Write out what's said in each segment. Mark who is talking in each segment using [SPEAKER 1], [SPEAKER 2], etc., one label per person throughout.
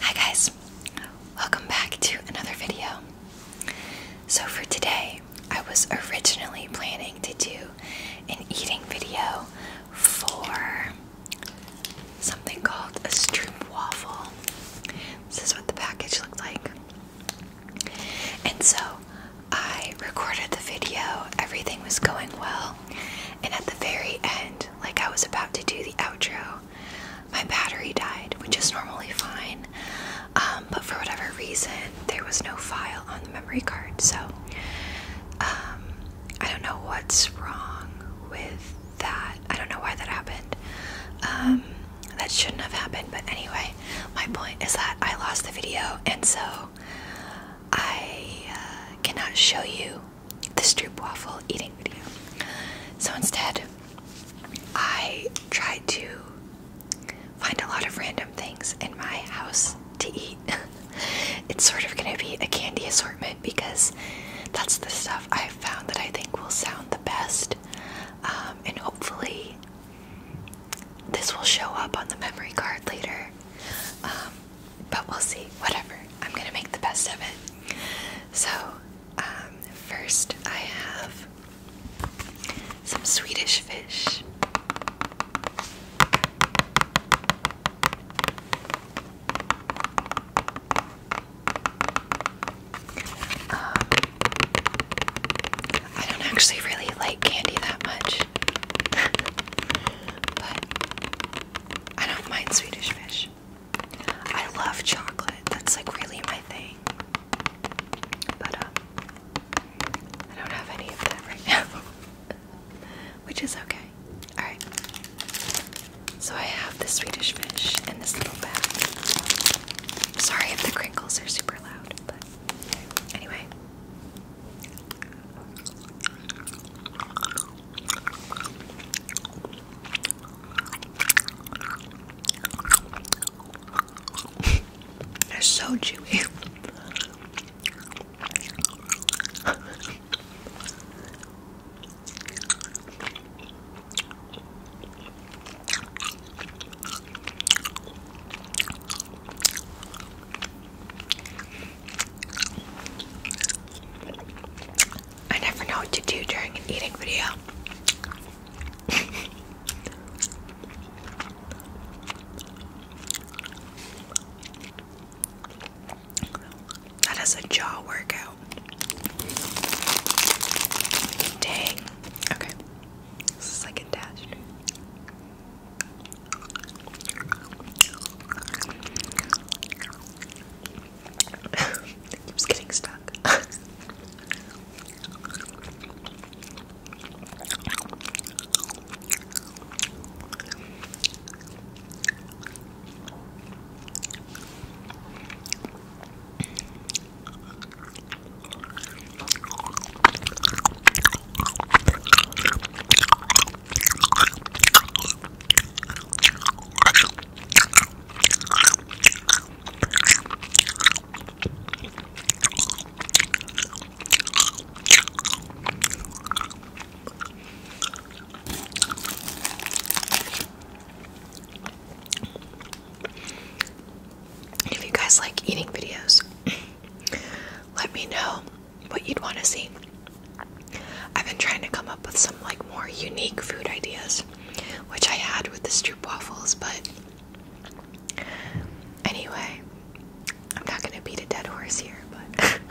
[SPEAKER 1] Hi guys, welcome back to another video. So for today, I was originally planning to do an eating video for something called a stroop waffle. This is what the package looked like. And so I recorded the video, everything was going well, and at the very end, like I was about to do the outro, my battery died, which is normally fine, um, but for whatever reason, there was no file on the memory card, so um, I don't know what's wrong with that. I don't know why that happened. Um, that shouldn't have happened, but anyway, my point is that I lost the video, and so I uh, cannot show you the stroopwafel eating video. So instead, I tried to find a lot of random things in my house to eat. it's sort of going to be a candy assortment because that's the stuff I've found that I think will sound the best. Um, and hopefully, this will show up on the memory card later, um, but we'll see. Whatever. I'm gonna make the best of it. So, um, first I have some Swedish fish. Um, I don't actually really like candy that much. but I don't mind Swedish fish. I love chocolate. That's like really my thing. But uh, I don't have any of that right now. Which is okay. Alright. So I have the Swedish fish in this little bag. Sorry if the crinkles are super loud, but anyway. They're so chewy. I never know what to do during an eating video. that is a jaw workout. Dang. Okay. This is like attached it keeps getting stuck. If you guys like eating videos, let me know what you'd want to see. I've been trying to come up with some like more unique food ideas, which I had with the Stroop waffles, but anyway, I'm not gonna beat a dead horse here, but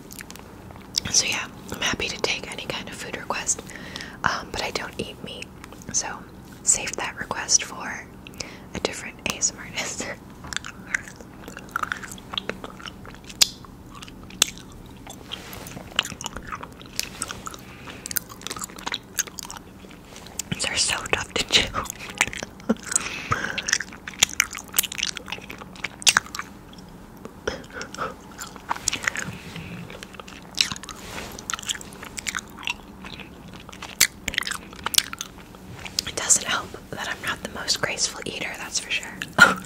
[SPEAKER 1] So yeah, I'm happy to take any kind of food request, um, but I don't eat meat, so save that request for a different ASMR They're so tough to chew. It doesn't help that I'm not the most graceful eater, that's for sure. I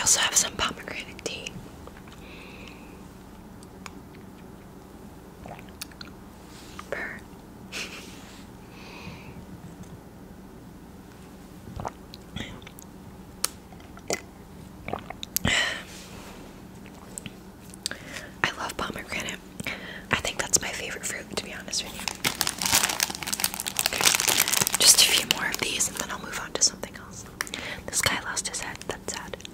[SPEAKER 1] also have some pomegranate tea. I love pomegranate. I think that's my favorite fruit, to be honest with you. Just a few more of these, and then I'll move on to something else. This guy lost his head. That's sad.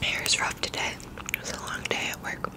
[SPEAKER 1] My hair's rough today. It was a long day at work.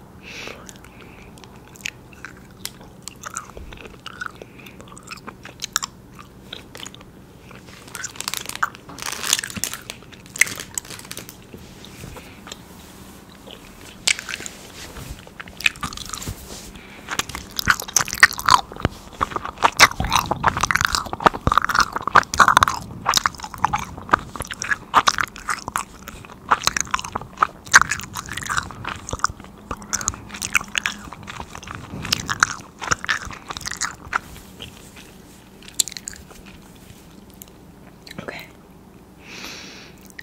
[SPEAKER 1] Okay.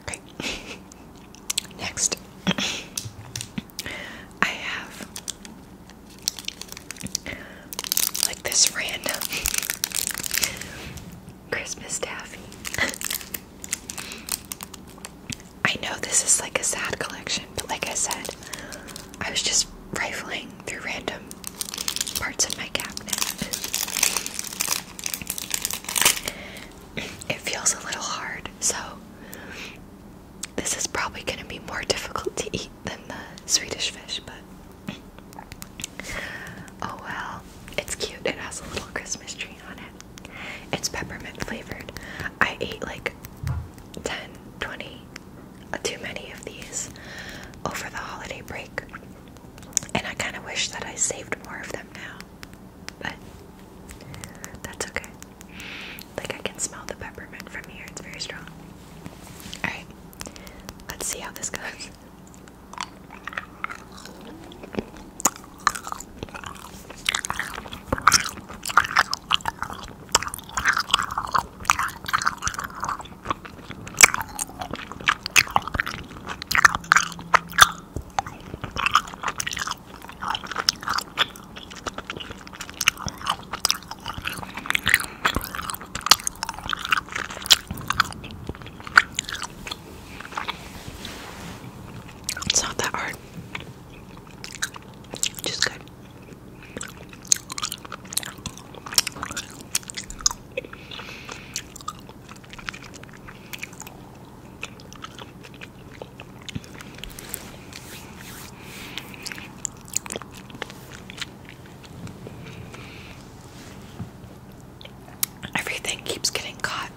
[SPEAKER 1] Okay. Next. I have like this random Christmas taffy. I know this is like a sad collection, but like I said, I was just rifling through random parts of my cabinet it feels a little hard. So, this is probably going to be more difficult to eat than the Swedish fish, but oh well. It's cute. It has a little Christmas tree on it. It's peppermint flavored. I ate like 10, 20, uh, too many of these over the holiday break. And I kind of wish that I saved more of them now. But that's okay. Like I can smell the peppermint from here, it's very strong. Alright, let's see how this goes. It's not that hard. Just good. Everything keeps getting caught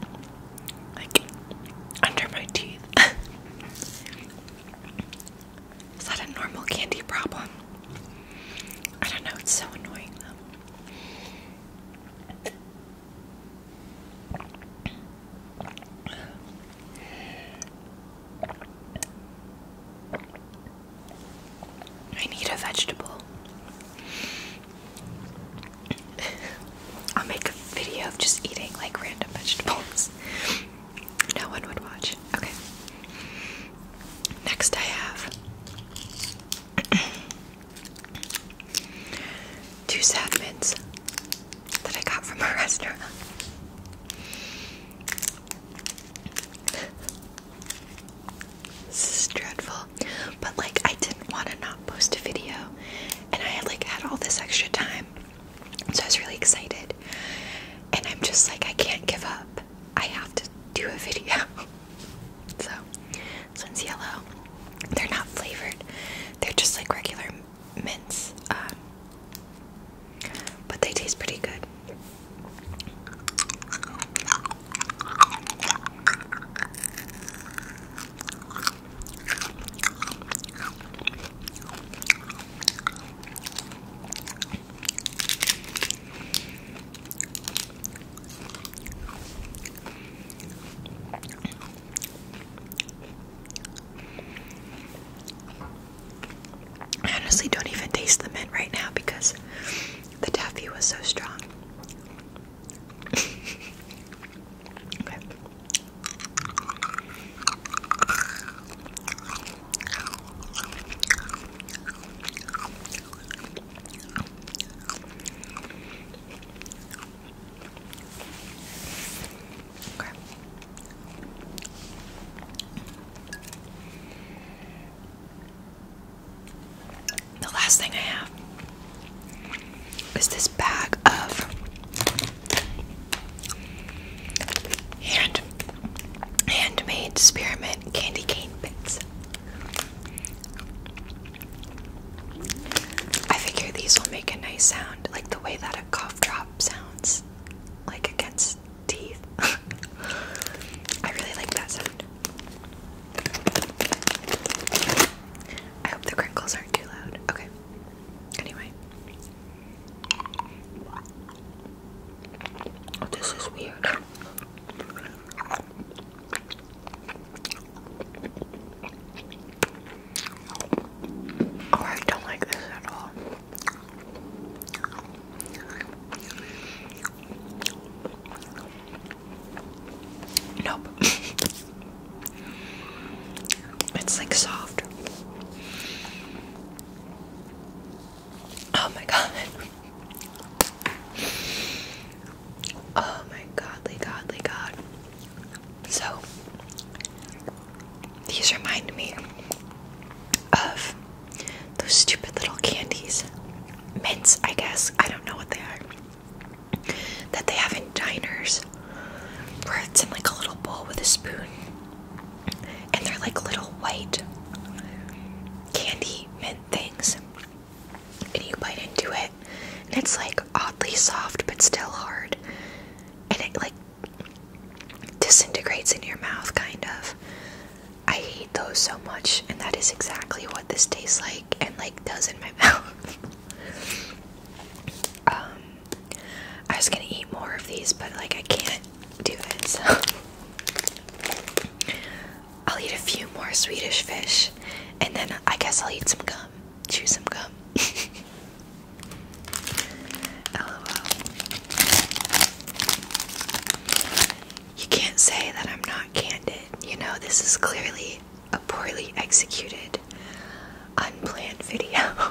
[SPEAKER 1] like under my teeth. Is that a normal candy problem? I don't know, it's so annoying I need a vegetable. I'll make a video of just eating like random vegetables. No one would watch. Okay. Next, I have two sad mints that I got from a restaurant. this is dreadful, but like I didn't want to not post a video, and I had like had all this extra time, so I was really excited. And I'm just like, I can't give up. I have to do a video. so this one's yellow. They're not flavored. They're just like regular mints. Um, but they taste pretty good. I honestly don't even taste the mint right now because the taffy was so strong. The last thing I have is this bag of hand handmade spearmint candy cane bits. I figure these will make a nice sound, like the way that a cough drop sounds, like against teeth. I really like that sound. I hope the crinkles aren't too loud. Okay. Anyway. This is weird. Oh, I don't like this at all. Nope. it's like soft. Oh my god. Oh my godly, godly god. So, these remind me of those stupid little candies. Mints, I guess. I don't know what they are. That they have in diners. Where it's in like a little bowl with a spoon. And they're like little white candy mint things and you bite into it and it's like oddly soft but still hard and it like disintegrates in your mouth kind of i hate those so much and that is exactly what this tastes like and like does in my mouth um i was gonna eat more of these but like i can't do it I'll eat a few more Swedish fish and then I guess I'll eat some gum. Chew some gum. You can't say that I'm not candid. You know, this is clearly a poorly executed, unplanned video.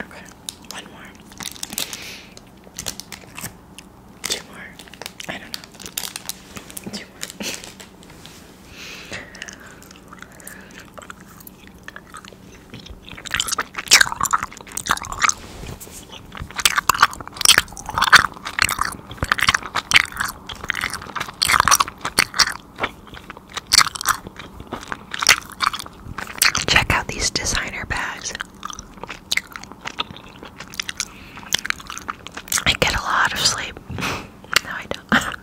[SPEAKER 1] Okay, one more. Two more. I don't know. Two more. Check out these designer bags. I get a lot of sleep. No, I don't.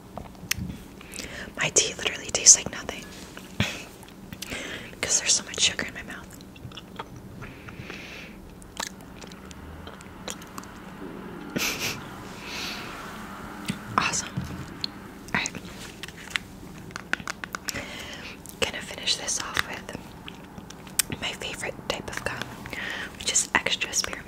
[SPEAKER 1] My tea literally tastes like nothing because there's so much sugar in my mouth. awesome. Alright. Gonna finish this off with my favorite type of gum, which is extra spearmint.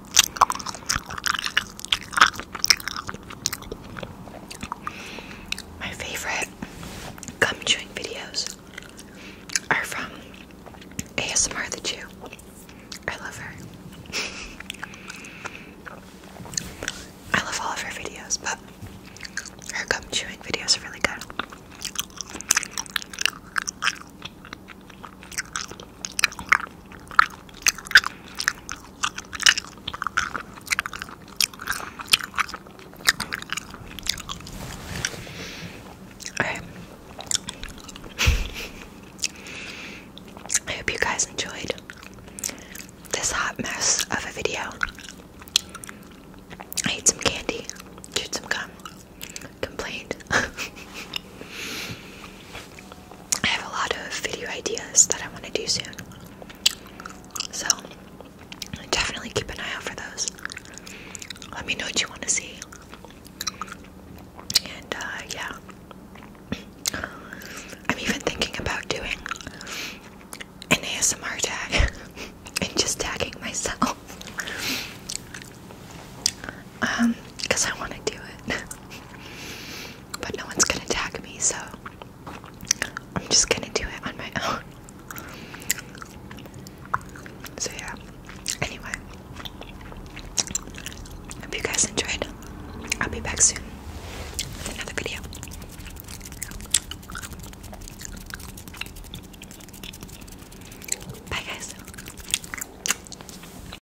[SPEAKER 1] My favorite gum chewing videos are from ASMR the Jew. I love her. I love all of her videos, but her gum chewing videos are really good. I, I hope you guys enjoyed this hot mess of a video. I ate some candy, chewed some gum, complained. I have a lot of video ideas that I want to do soon. So definitely keep an eye out for those. Let me know what you want to see. And uh, yeah, I'm even thinking about doing an ASMR tag and just tagging myself. Um, because I want to do it. but no one's gonna tag me, so I'm just gonna do it on my own. So, yeah, anyway, hope you guys enjoyed. I'll be back soon with another video. Bye, guys.